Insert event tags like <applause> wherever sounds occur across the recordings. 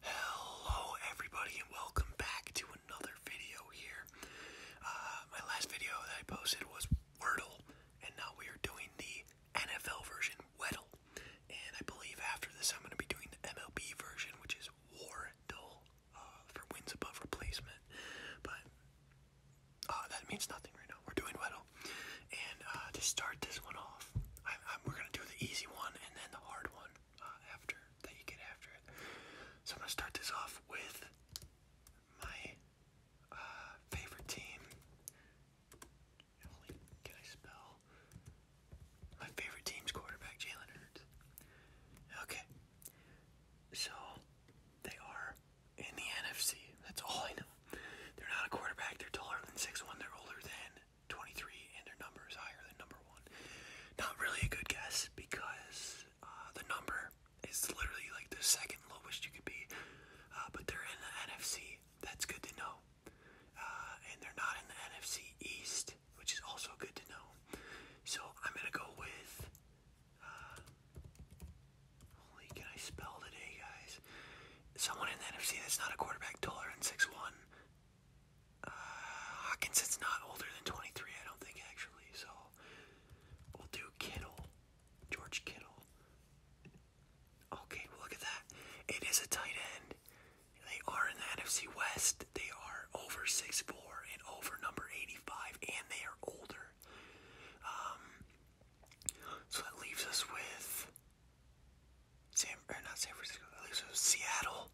Hello everybody and welcome back to another video here. Uh, my last video that I posted was Wordle and now we are doing the NFL version, Weddle. And I believe after this I'm going to be doing the MLB version which is Wardle uh, for wins above replacement. But uh, that means nothing right now. We're doing Weddle. And to start this one off, we're gonna do the easy one and then the hard one uh, after that you get after it. So I'm gonna start this off with my uh, favorite team. can I spell? My favorite team's quarterback, Jalen Hurts. Okay, so they are in the NFC. That's all I know. They're not a quarterback. They're taller than six one. They're older than 23 and their number is higher than number one. Not really a good guess because uh, the number is literally like the second lowest you could be, uh, but they're in the NFC. That's good to know. Uh, and they're not in the NFC East, which is also good to know. So I'm gonna go with. Uh, holy, can I spell today, guys? someone in the NFC that's not a quarterback taller than six one. Uh, Hawkins is not older than 23, I don't think, actually. So we'll do Kittle. George Kittle. Okay, look at that. It is a tight end. They are in the NFC West. They are over six four and over number 85, and they are older. Um, so that leaves us with San or not San Francisco, at least it was Seattle.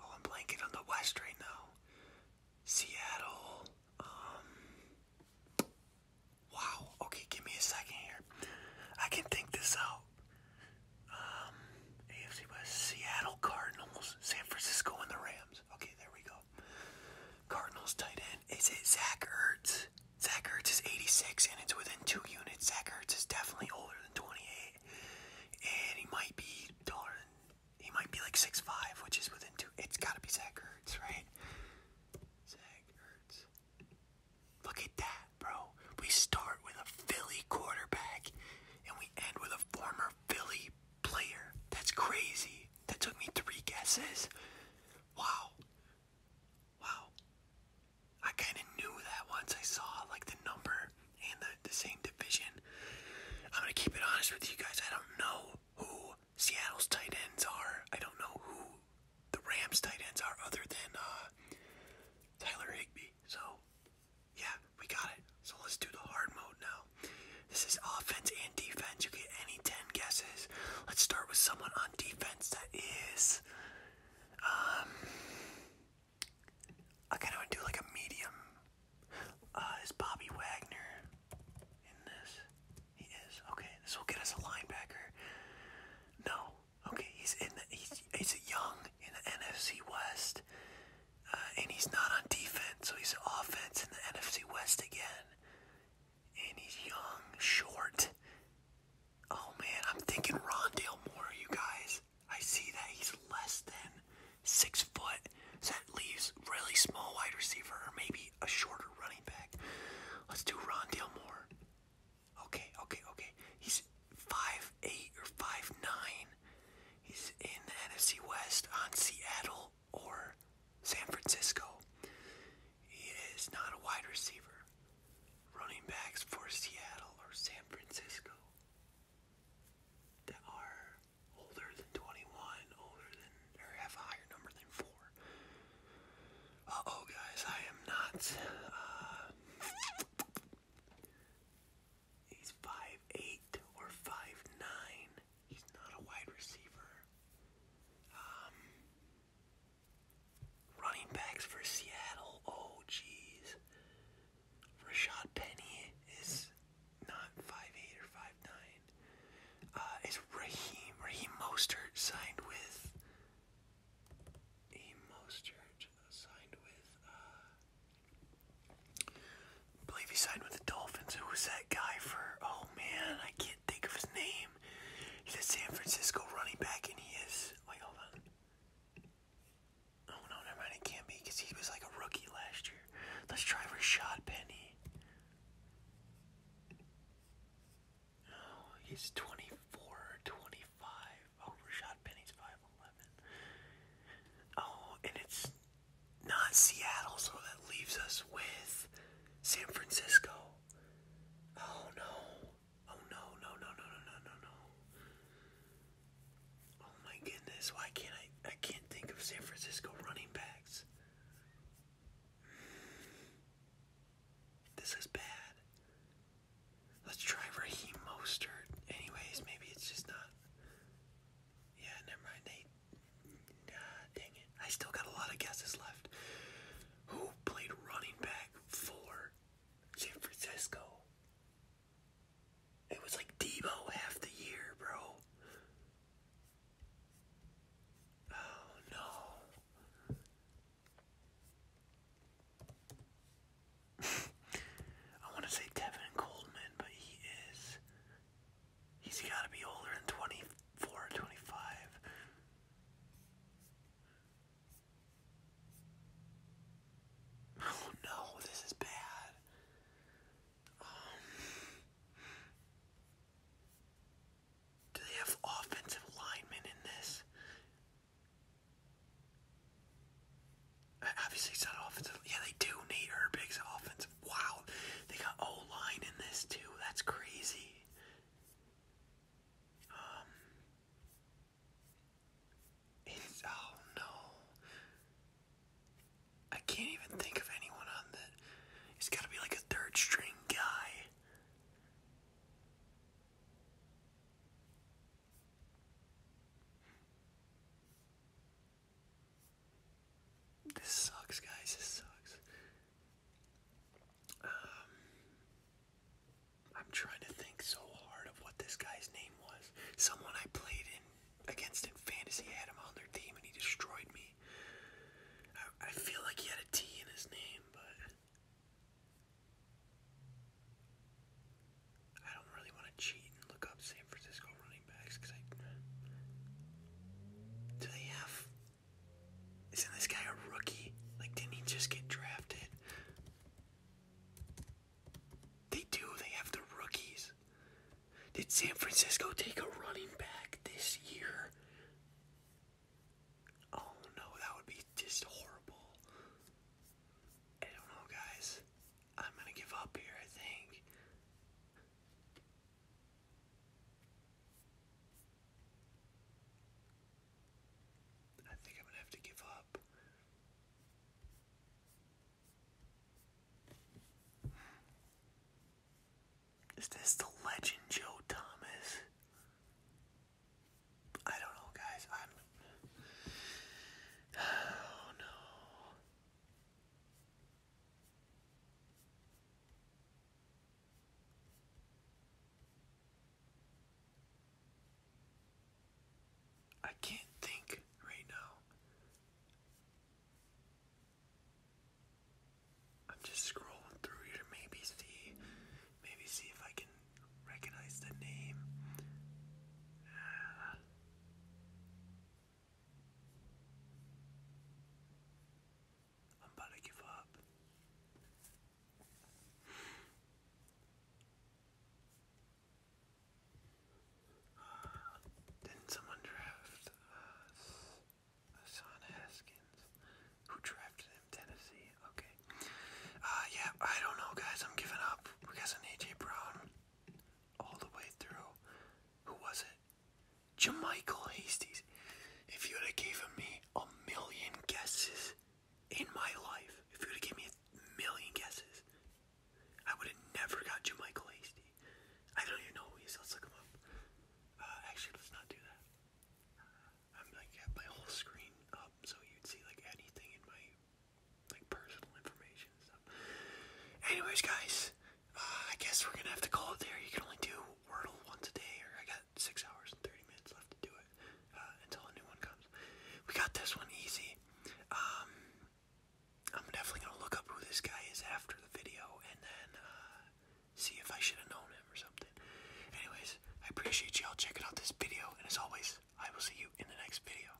Oh, I'm blanking on the West right now. Seattle. Um. Wow. Okay, give me a second here. I can think this out. Um, AFC West, Seattle Cardinals, San Francisco, and the Rams. Okay, there we go. Cardinals tight end. Is it Zach Ertz? Zach Ertz is 86, and it's within two units. Zach Ertz is definitely older than 28, and he might be taller he might be like 6'5", which is within two. It's got to be Zach Ertz, right? Zach Look at that, bro. We start with a Philly quarterback, and we end with a former Philly player. That's crazy. That took me three guesses. Wow. Wow. I kind of knew that once I saw like the number and the, the same division. I'm going to keep it honest with you guys. I don't know who Seattle's tight ends are. I don't know who the Rams tight ends are other than uh, Tyler Higby. So, yeah, we got it. So let's do the hard mode now. This is offense and defense. You get any 10 guesses. Let's start with someone on defense that is. Um, I kind of do like a medium. Uh, is Bobby Wagner in this? He is. Okay, this will get us a linebacker. No. Okay, he's in the. He's, he's a young in the NFC West. Uh, and he's not on defense, so he's offense in the NFC West again and he's young, short. Oh man, I'm thinking Rondale Moore, you guys. I see that he's less than six foot, so that leaves really small wide receiver or maybe a shorter running back. Let's do Rondale Moore. Okay, okay, okay. He's five eight or five nine. He's in the West on Seattle or San Francisco. He is not a wide receiver. Running backs for Seattle or San Francisco that are older than 21, older than, or have a higher number than 4. Uh oh, guys, I am not. Uh, he's 5'8 or 5'9. He's not a wide receiver. Um, Running backs for Seattle. Oh, jeez. Rashad Penny is not 5'8 or 5'9. Uh, is Raheem, Raheem Mostert signed with, Raheem Mostert signed with, uh, I believe he signed with the Dolphins. Who was that guy for, oh man, I can't think of his name. He's a San Francisco running back, and he is. Wait, hold on. Oh no, never mind. can't be he was like a rookie last year. Let's try Rashad Penny. Oh, he's 24 25. Oh, Rashad Penny's 5'11. Oh, and it's not Seattle, so that leaves us with San Francisco. Oh no. Oh no, no, no, no, no, no, no, no. Oh my goodness, why can't I I can't think of San Francisco running backs. This is bad. Let's try Raheem Mostert. Anyways, maybe it's just not. Yeah, never mind. They dang it. I still got a lot of guesses left. Who played running back for San Francisco? It was like Debo half the year, bro. Oh no. <laughs> I want to say Tevin Coleman, but he is He's got to be older than 24 25. Oh no, this is bad. Um, do they have offensive linemen in this? Obviously, it's not offensive. Yeah, they do. Nate Herbig's offensive. That's wow. They got O line in this too. That's crazy. Um, oh no. I can't even think of anyone on that. It's gotta be like a third string guy. This sucks, guys. This sucks. Um, I'm trying to think so hard of what this guy's name was. Someone I played in against in fantasy had him on their team, and he destroyed me. I feel like he had a T in his name, but. I don't really want to cheat and look up San Francisco running backs because I. Do they have. Isn't this guy a rookie? Like, didn't he just get drafted? They do, they have the rookies. Did San Francisco take a running back this year? Oh no, that would be just horrible. I don't know, guys. I'm gonna give up here, I think. I think I'm gonna have to give up. Is this the legend Joe Thomas? I don't know, guys. I'm. <sighs> Oh no. I can't think right now. I'm just scrolling through here to maybe see maybe see if I can recognize the name. Ah. I'm about to give up. <sighs> didn't someone draft uh, Son Haskins? Who drafted him? Tennessee. Okay. Uh, yeah, I don't know, guys. I'm giving up. We got an AJ Brown all the way through. Who was it? Jamichael Hasty. If you would have given me a million guesses in my life, if you would have given me a million guesses, I would have never got Jamichael Hasty. I don't even know who he is. Let's look him up. Uh, actually, let's not do that. I'm like at my whole screen up, so you'd see like anything in my like personal information stuff. Anyways, guys, uh, I guess we're gonna have to call it there. You can only do Wordle once a day, or I got six hours and thirty minutes left to do it uh, until a new one comes. We got this one easy. Um, I'm definitely gonna look up who this guy is after the video, and then uh, see if I should have known him or something. Anyways, I appreciate y'all checking out this video, and as always, I will see you in the next video.